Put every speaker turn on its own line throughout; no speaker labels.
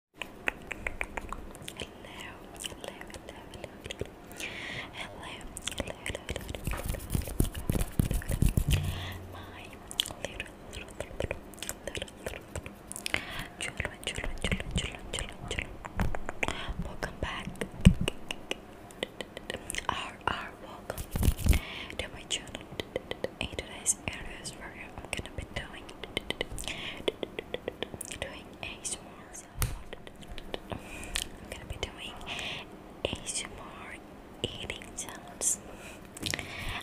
hello, hello, hello, hello, hello, hello, my little, little, little, little, Welcome back. Our, our welcome to my channel. In today's areas I'm gonna be doing doing ASMR. So I'm gonna be doing a ASMR eating sounds.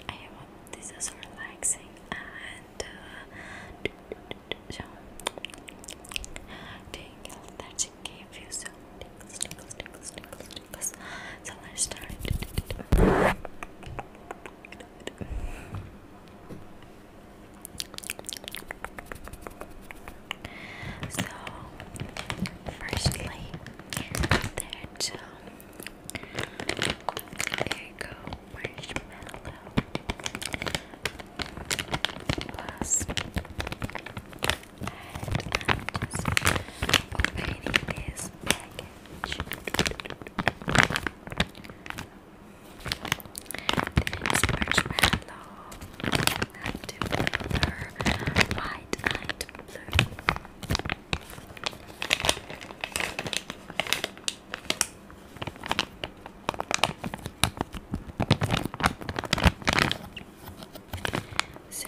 I hope this is relaxing and uh, so that she gave you. So So let's start. So, firstly, there there you go, marshmallow plus and I'm just the next marshmallow. Active color. Light light blue. So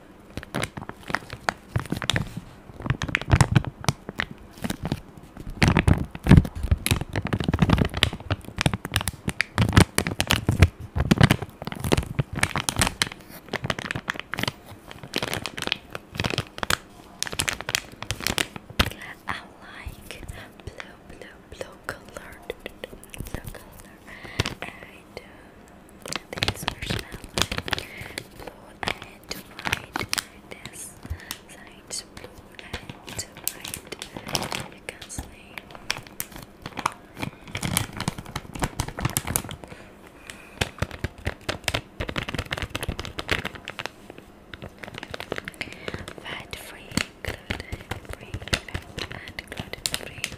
I like blue, blue, blue color, blue color, and this marshmallow, blue and white, and side's blue and white. You can see. Fat free, gluten free, and gluten free.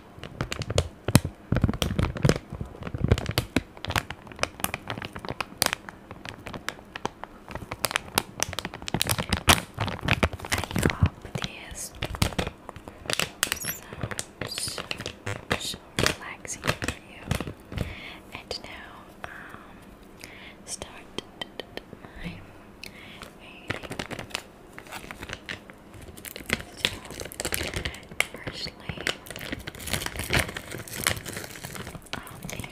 this sounds so relaxing for you. And now, um, start Firstly, I'll this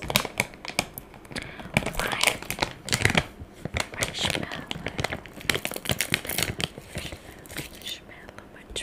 white marshmallow. Marshmallow, marshmallow. And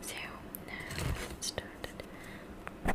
So now it's started. Okay.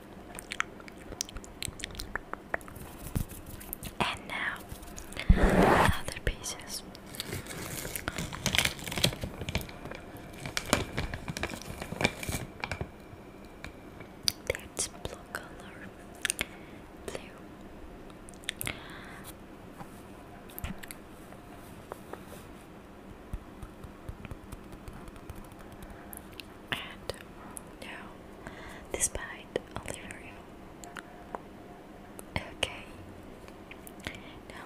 And now other pieces. That's blue color. Blue. And now, despite Oliverio. Okay. Now.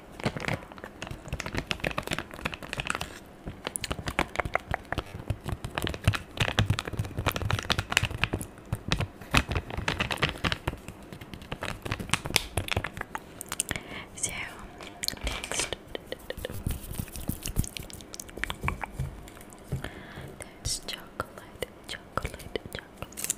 so next there's chocolate, chocolate, chocolate.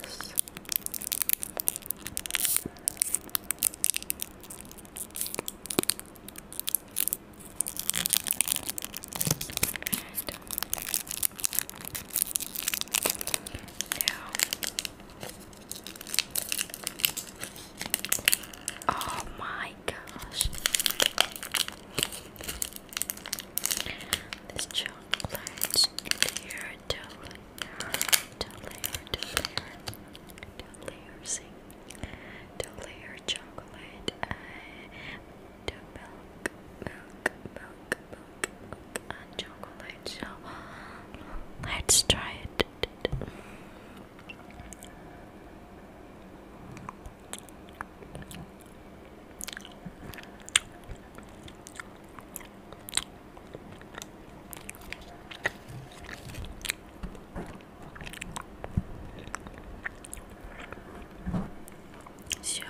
this. And oh my gosh, this chocolate in two layer, two layer, two layer, chocolate, uh, milk, milk, milk, milk, milk, and chocolate. So let's try it. Sure.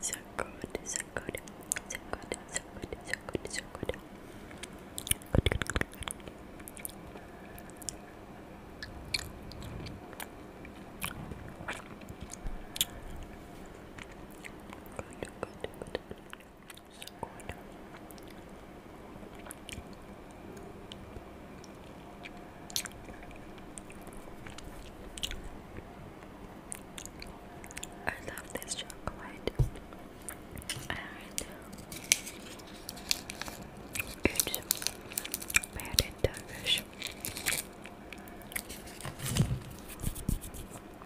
So good, so good, so good, so good, so good, so good. Good, good, good. Good, good, good. I
love this chocolate. it's made in Turkish.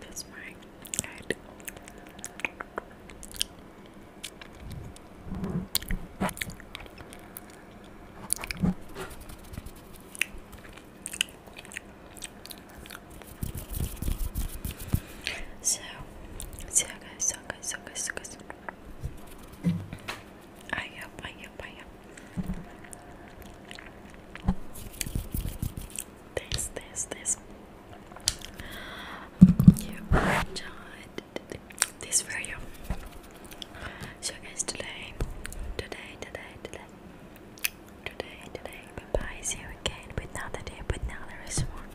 That's my
So, so guys, so guys, so guys, so guys. Ay, ay, ay, ay. This, this, this. Yeah, this video. So guys, today, today, today, today, today, today. Bye See you again with another day, with another resort.